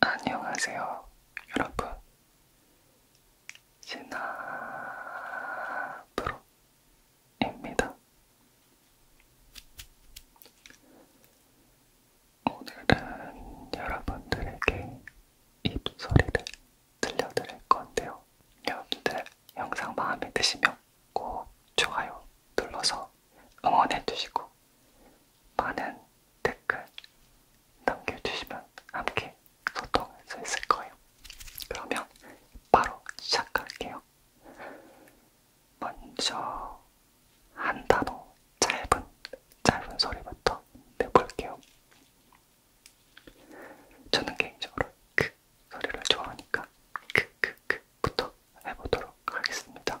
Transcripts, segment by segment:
안녕하세요, 여러분. 시나프로입니다. 오늘은 여러분들에게 입소리를 들려드릴 건데요. 여러분들 영상 마음에 드시면 꼭 좋아요 눌러서 응원해주시고 많은 댓글 남겨주시면 함께 소통할 수 있을 거예요. 그러면 바로 시작할게요. 먼저 한 단어 짧은 짧은 소리부터 내볼게요. 저는 개인적으로 그 소리를 좋아하니까 크크크부터 해보도록 하겠습니다.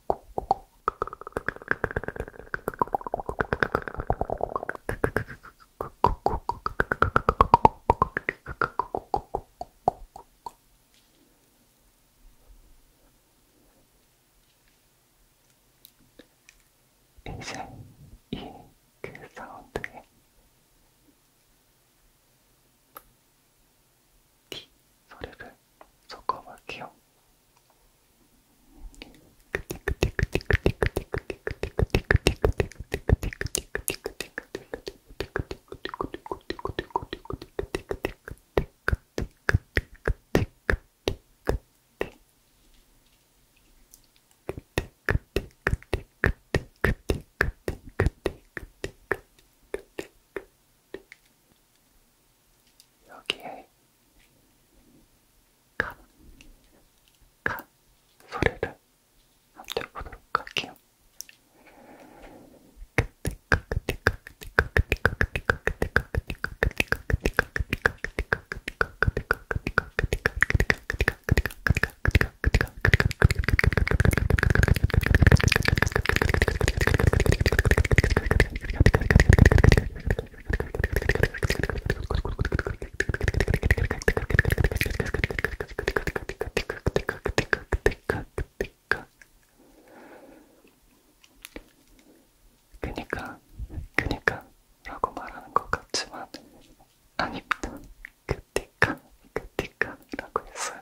이제 이그 사운드에 티 소리를 섞어 볼게요. 여기에 칸, 칸 소리를 합쳐보도록 할게요. 그니까, 그니까 라고 말하는 것 같지만 아닙니다. 그니까, 그니까 라고 했어요.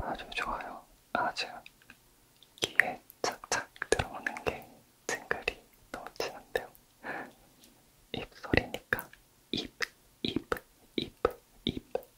아주 좋아요. 아주 귀에 착착 들어오는 게 징글이 너무 친한데요. 입소리니까 입, 입, 입, 입,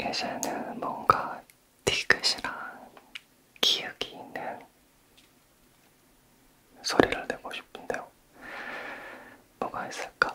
예전에는 뭔가 디귿이랑 기억이 있는 소리를 내고 싶은데요. 뭐가 있을까?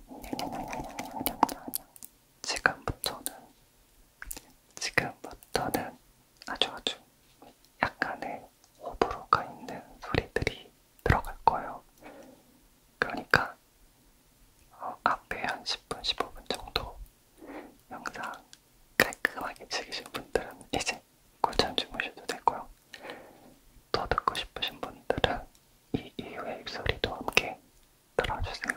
지금부터는 지금부터는 아주 아주 약간의 호불호가 있는 소리들이 들어갈 거예요. 그러니까 어, 앞에 한 10분, 15분 정도 영상 깔끔하게 즐기신 분들은 이제 골잠 주무셔도 되고요. 더 듣고 싶으신 분들은 이 이후의 입소리도 함께 들어주세요.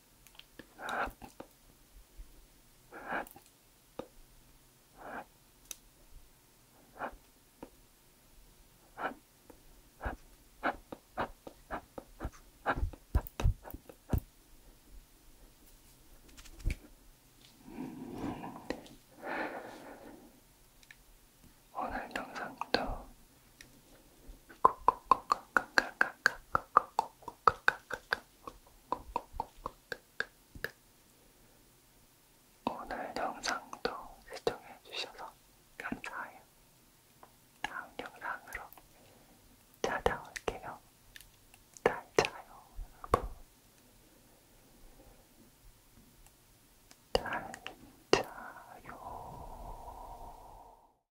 오늘 영상도 오늘 영상도 시청해주셔서 감사해요. 다음 영상으로 찾아올게요. 잘 자요, 여러분. 잘 자요.